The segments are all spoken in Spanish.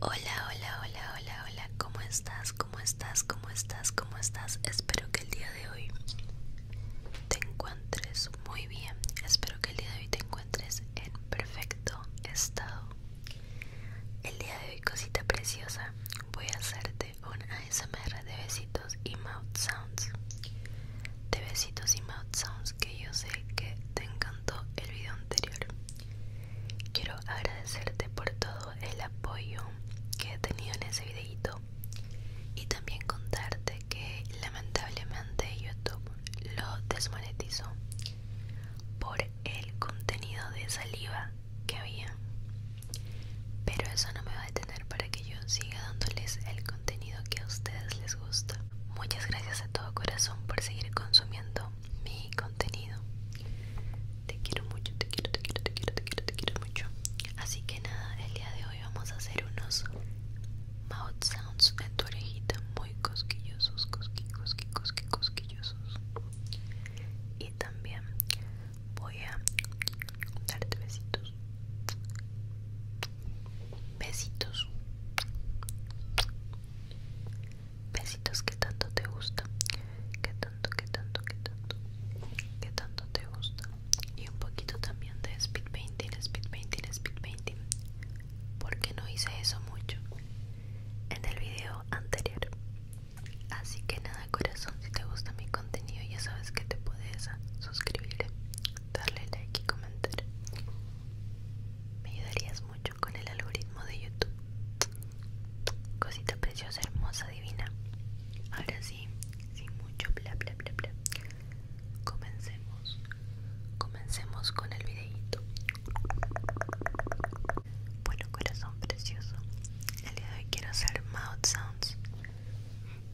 Hola, hola, hola, hola, hola, ¿cómo estás? ¿Cómo estás? ¿Cómo estás? ¿Cómo estás? Espero que el día de hoy te encuentres muy bien. Espero que el día de hoy te encuentres en perfecto estado. El día de hoy, cosita preciosa, voy a hacerte un ASMR de besitos y mouth sounds. De besitos y mouth sounds que yo sé que te encantó el video anterior. Quiero agradecerte por todo el apoyo que he tenido en ese videito y también contarte que lamentablemente YouTube lo desmonetizó por el contenido de saliva que había. Pero eso no me va a detener para que yo siga dándoles el contenido que a ustedes les gusta. Muchas gracias a todo corazón por seguir consumiendo mi contenido. Te quiero mucho, te quiero, te quiero, te quiero, te quiero, te quiero mucho. Así que nada, el día de hoy vamos a hacer unos mouth sounds en tu orejita muy cosquillosos, cosqui, cosquillosos. Y también voy a darte besitos besitos besitos que tanto te gusta que tanto que tanto que tanto que tanto te gusta y un poquito también de speed painting speed painting speed painting porque no hice eso mucho en el video anterior así que nada corazón si te gusta mi contenido ya sabes que te puedes suscribirte darle like y comentar. Me ayudarías mucho con el algoritmo de YouTube. Cosita preciosa, hermosa, divina. Ahora sí, sin mucho bla bla bla bla. Comencemos. Comencemos con el videito. Bueno, corazón precioso. El día de hoy quiero hacer mouth sounds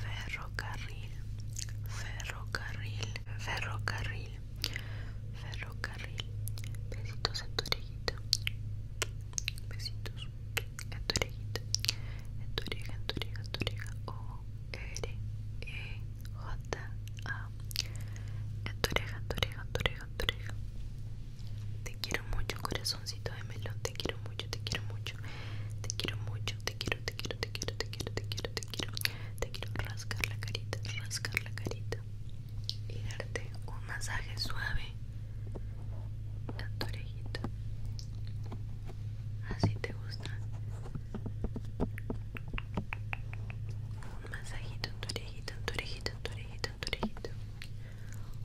ferrocarril ferrocarril ferrocarril ferrocarril besitos en tu besitos en tu o r e j a en tu te quiero mucho, corazoncito de melón. Te quiero mucho, te quiero mucho. Te quiero mucho, te quiero, te quiero, te quiero, te quiero, te quiero, te quiero. Te quiero rascar la carita, rascar la carita. Y darte un masaje suave a tu orejita. Así te gusta. Un masajito en tu orejita, en tu orejita, en tu orejita tu orejita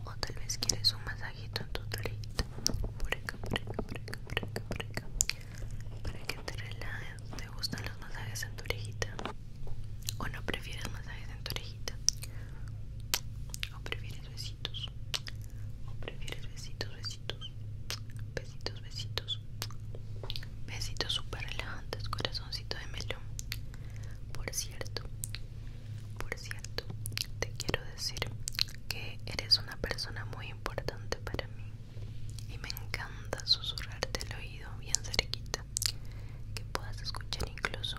o tal vez quieres un masajito en tu orejita por acá, por acá, por acá, para que te relajes ¿te gustan los masajes en tu orejita? o no prefieres masajes en tu orejita o prefieres besitos o prefieres besitos, besitos besitos, besitos besitos super relajantes, corazoncito de melón por cierto, por cierto, te quiero decir que eres una persona muy importante para mí y me encanta susurrarte el oído bien cerquita, que puedas escuchar incluso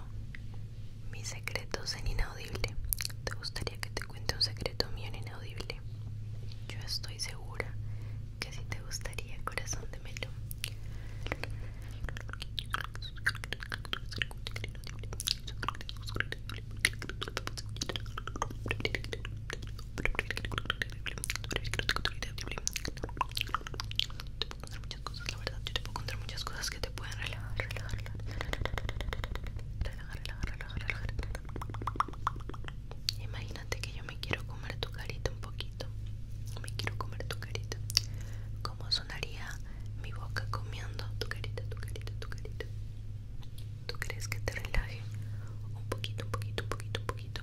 mis secretos en inaudible. ¿Te gustaría que te cuente un secreto mío en inaudible? Yo estoy segura que sí te gustaría, corazón de melo contar muchas cosas, Yo te puedo contar muchas cosas que te pueden relajar, relajar, Imagínate que yo me quiero comer tu carita poquito. Me quiero comer tu carita. ¿Cómo sonaría mi boca comiendo tu carita, tu carita, tu carita? ¿Tú crees que te relaje? Un poquito, un poquito, un poquito, un poquito.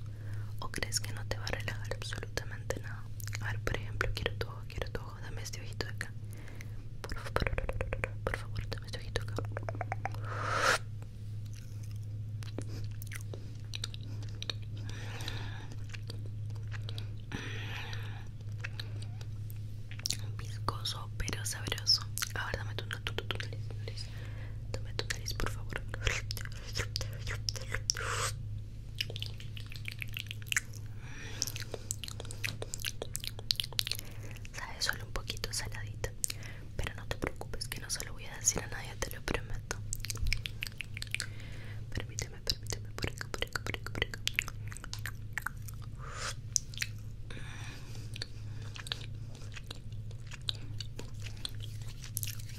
¿O crees que no te va a relajar absolutamente nada? A por ejemplo, quiero tu ojo, quiero tu ojo. Dame este ojito de acá. Por favor, por dame este ojito acá. Viscoso pero sabroso. Ahora dame tu, nariz, Dame tu nariz, por favor. Sabe solo un poquito saladita, pero no te preocupes que no se lo voy a decir a nadie, te lo prometo permíteme permíteme por acá por acá por acá por acá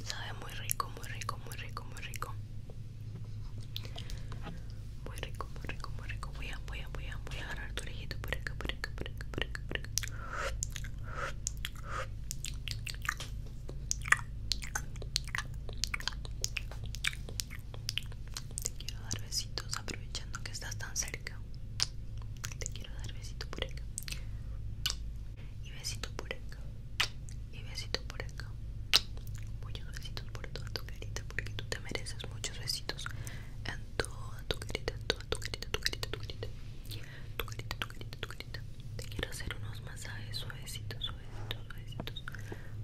sabe muy rico muy rico muy rico muy rico muy rico muy rico muy rico voy a voy a voy a voy a agarrar tu orejito por acá por acá por acá por acá por acá te quiero dar besitos aprovechando que estás tan cerca. Te quiero dar besito por acá. Y besito por acá. Y besito por acá. Muchos besitos por toda tu carita porque tú te mereces muchos besitos en toda tu carita, en toda tu carita, tu carita, tu carita. Tu carita, tu carita, tu carita. Te quiero hacer unos masajes suavecitos, suavecitos, suavecitos.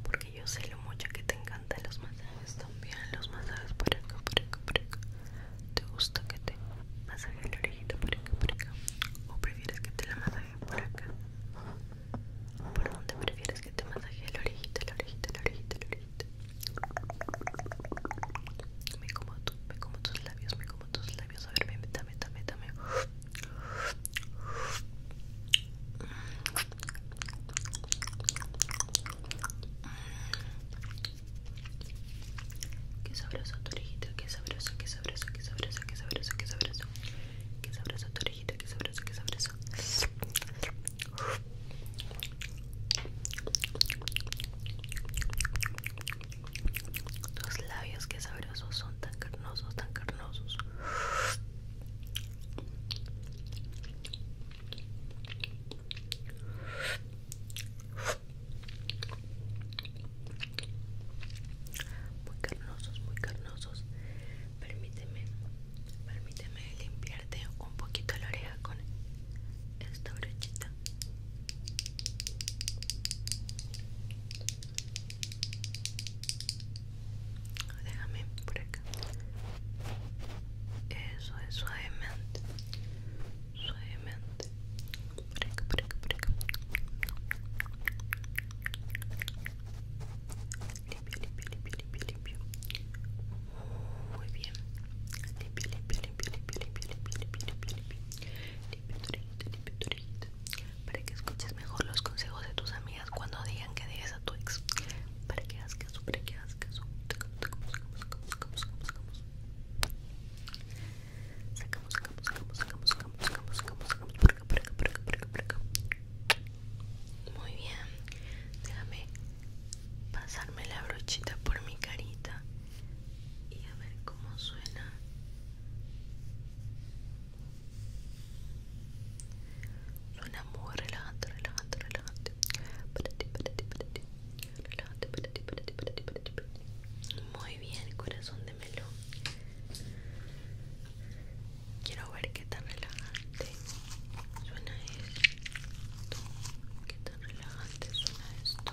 Porque yo sé lo mucho que te encantan los masajes también. Los masajes por acá, por acá, por acá. ¿Te gusta que te masaje el orejita por acá, por acá? ¿O prefieres que te la masaje por acá? ¿Por dónde prefieres que te masaje el orejita, el orejita, el orejita, el orejita? Me como, tú, me como tus labios, me como tus labios dame, dame, dame. Qué sabroso tu orejita, qué sabroso qué sabroso qué sabroso tu orejita, tus labios que sabrosos son tan carnosos, tan carnosos. Muy carnosos, muy carnosos. Permíteme, permíteme limpiarte un poquito la oreja con esta brochita. Déjame por Eso es suavemente. Suavemente. Por acá, Muy bien. limpio. Para que escuches mejor los consejos de tus amigas cuando digan que dejes a tu ex Para que hagas caso, para que hagas caso Muy bien Déjame pasarme la brochita por mi carita y a ver cómo suena suena muy relajante relajante relajante para ti para relajante para ti para muy bien corazón de Melo. quiero ver qué tan relajante suena esto qué tan relajante suena esto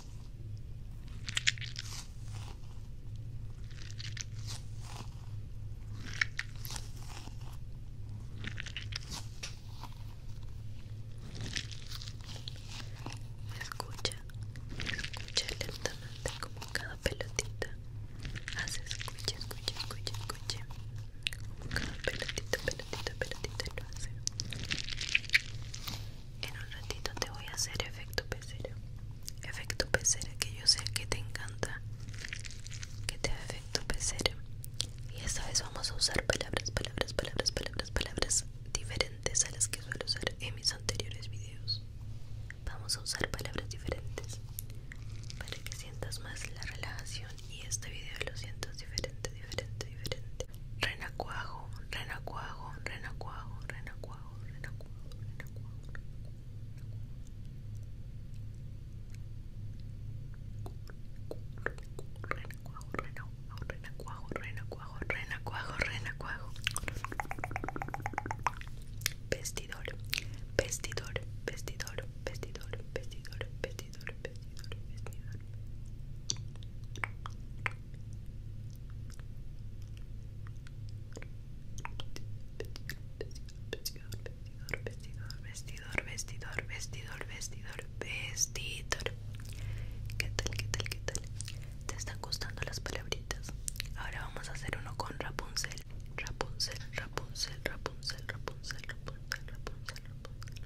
Escucha, escucha lentamente como cada pelotita hace escucha, escucha, escucha, escucha como cada pelotita, pelotita, pelotita lo hace en un ratito te voy a hacer efecto pecera. Efecto pecera que yo sé que te encanta. Que te da efecto pecera. Y esta vez vamos a usar palabras, palabras, palabras, palabras, palabras diferentes a las que suelo usar en mis anteriores videos. Vamos a usar palabras diferentes para que sientas más la relajación y este video lo sientas diferente, diferente, diferente renacuajo, cuajo, Rena cuajo, renacuajo, cuajo, Renacuajo, cuajo, renacuajo, cuajo, renacuajo. Vestidor, vestidor, vestidor, vestidor, vestidor, vestidor, vestidor, vestidor vestidor, vestidor, vestidor, vestidor, vestidor, vestidor. ¿Qué tal, qué tal, qué tal? ¿Te están gustando las palabritas? Ahora vamos a hacer uno con Rapunzel. Rapunzel, Rapunzel, Rapunzel, Rapunzel, Rapunzel, Rapunzel, Rapunzel, Rapunzel, Rapunzel,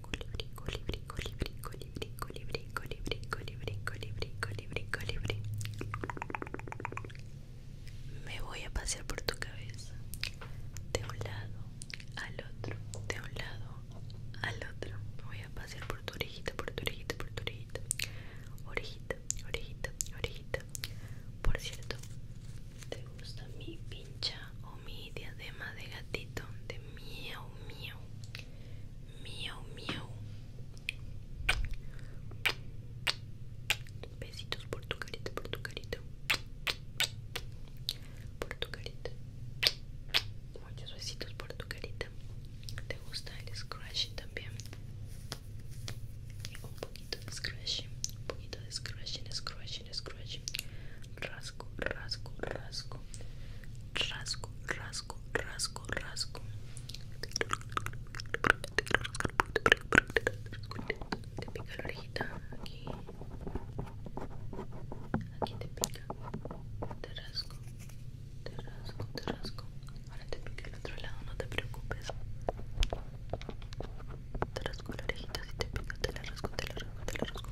Colibrí, colibrí, colibrí, colibrí, colibrí, colibrí, colibrí, colibrí, colibrí, colibrí. Me voy a pasear por tu cabeza. De un lado, al otro. De un lado, al otro. Me voy a pasear por tu orejita, por tu orejita, por tu orejita. Orejita, orejita, orejita. Por cierto, ¿te gusta mi pincha o mi diadema de gatito? De miau, miau. Miau, miau. Besitos, portugalita, portugalita. Portugalita. Muchos besitos, portugalita. ¿Te gusta el scratch también? Un poquito de scratch, un poquito de scratch, scratch, scratch. rasco, rasco, rasco, rasco, rasco, rasco, rasco. Te pica la orejita aquí. Aquí te pica. Te rasco. Te rasco, te rasco. Ahora te pica el otro lado, no te preocupes. Te rasco la orejita, si te pica, te la rasco, te la rasco, te la rasco.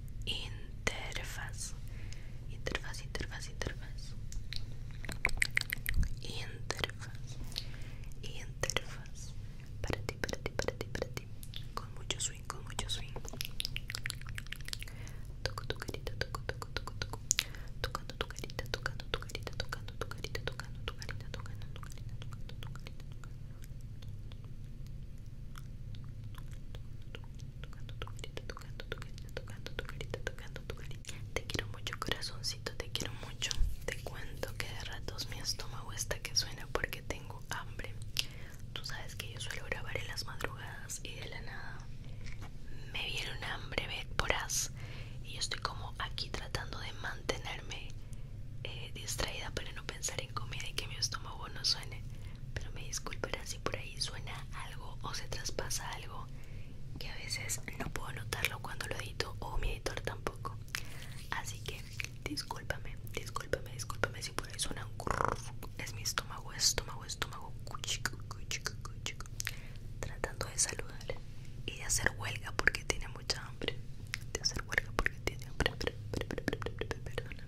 interfaz interfaz interfaz interfaz interfaz interfaz para ti para ti para ti para ti con mucho swing con mucho swing toco tu carita tocando tu carita tocando tu carita tocando tu carita tocando tu carita tocando tu carita tocando tu carita Tocando tu carita, tocando tu tocando tocando Te quiero mucho, corazoncito, te quiero mucho. Te cuento que de ratos mi estómago está que suena porque tengo hambre. Tú sabes que yo suelo grabar en las madrugadas y de la nada me viene un hambre as y yo estoy como aquí tratando de mantenerme eh, distraída para pensar en comida y que mi estómago no suene, pero me disculparán si por ahí suena algo o se traspasa algo que a veces no puedo notarlo cuando lo edito o mi editor tampoco. Así que discúlpame, discúlpame, discúlpame si por ahí suena es mi estómago, estómago, estómago tratando de saludar y de hacer huelga porque tiene mucha hambre, de hacer huelga porque tiene hambre, perdona.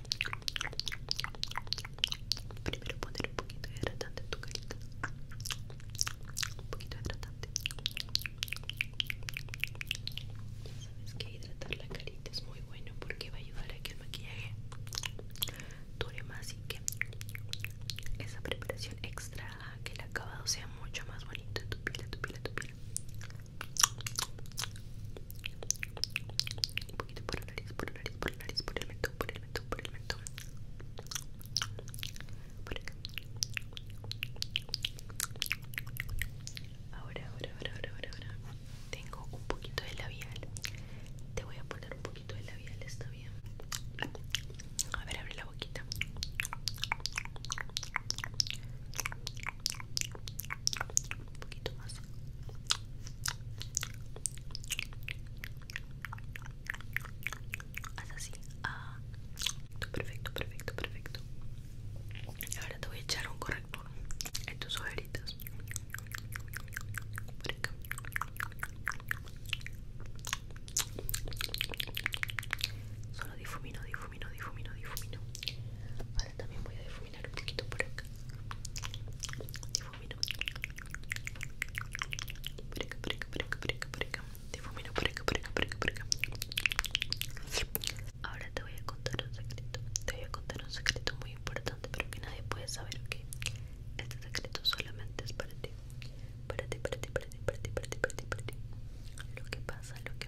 Primero poner un poquito de hidratante en tu carita. Un poquito de hidratante. sabes que hidratar la carita es muy bueno porque va a ayudar a que el maquillaje dure más y que esa preparación extra A que el acabado sea mucho más bonito en tu piel, en tu piel, en tu piel. Un poquito por la nariz, por el nariz, por el nariz, por el mentón, por el mentón, por el mentón. Por ahora, ahora, ahora, ahora, ahora. Tengo un poquito de labial. Te voy a poner un poquito de labial, está bien. A ver, abre la boquita. Un poquito más. Haz así. Ah, perfecto, perfecto, perfecto. Ahora te voy a echar un corrector en tus ojeritas. Solo difumino, difumino, difumino, difumino. Ahora también voy a difuminar difuminar un poquito por acá. Difumino. Por acá, por acá, por acá, por acá, Difumino por acá, por por Ahora te voy a contar un secreto. Te voy a contar un secreto muy importante, pero que nadie puede saber, Este secreto solamente es para ti. Para ti, para ti, para ti, para ti, para ti, para ti, Lo que pasa, lo que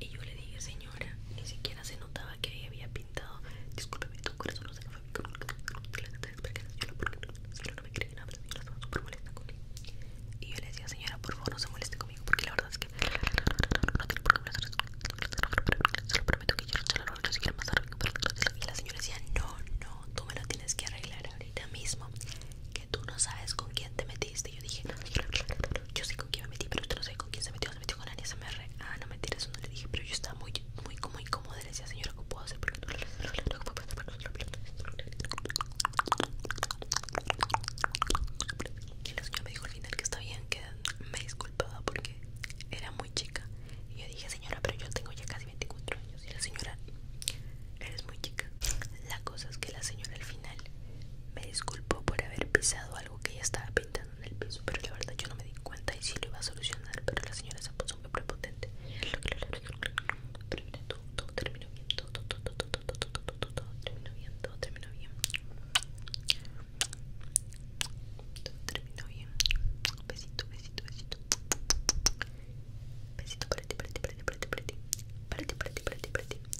y yo le dije, señora, ni siquiera se notaba que ella había pintado. Discúlpeme, tu corazón no se Y yo le decía, señora, por favor, no se moleste conmigo, porque la verdad es que no no Y la señora decía, no, no, tú me lo tienes que arreglar ahorita mismo. Que tú no sabes con quién te metiste. Y yo dije, no, yo sé con quién me metí, pero usted no sé con quién se metió, se metió con la ASMR. Ah, no mentira, eso no le dije, pero yo estaba muy, muy, muy incómoda. Le decía, señora, ¿qué puedo hacer? Y la señora me dijo al final que está bien, que me disculpaba porque era muy chica. Y yo dije, señora, pero yo tengo ya casi 24 años. Y la señora, eres muy chica. La cosa es que la señora al final me disculpó por haber pisado algo que ella estaba pintando en el piso, pero la verdad yo no me di cuenta y sí lo iba a solucionar, pero la señora se puso muy prepotente. Terminó todo, bien, todo, todo, terminó bien, todo terminó bien. Todo bien. Besito, besito, besito. Besito para ti, para ti, para ti.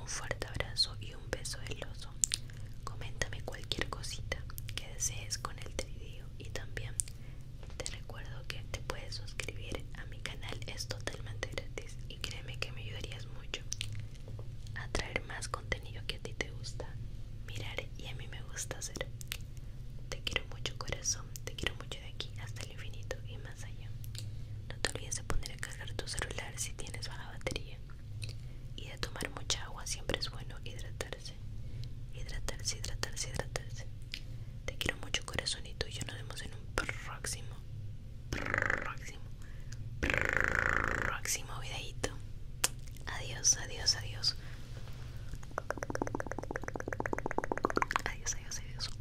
un fuerte abrazo y un beso del oso. Coméntame cualquier cosita que desees con el video y también te recuerdo que te puedes suscribir a mi canal, es totalmente gratis y créeme que me ayudarías mucho a traer más contenido que a ti te gusta mirar y a mí me gusta hacer. Te quiero mucho corazón, te quiero mucho de aquí hasta el infinito y más. No te olvides de poner a cargar tu celular si tienes baja batería. Y de tomar mucha agua, siempre es bueno hidratarse. Hidratarse, hidratarse, hidratarse. Te quiero mucho corazonito y yo nos vemos en un próximo, próximo, próximo videito. Adiós, adiós, adiós. Adiós, adiós, adiós.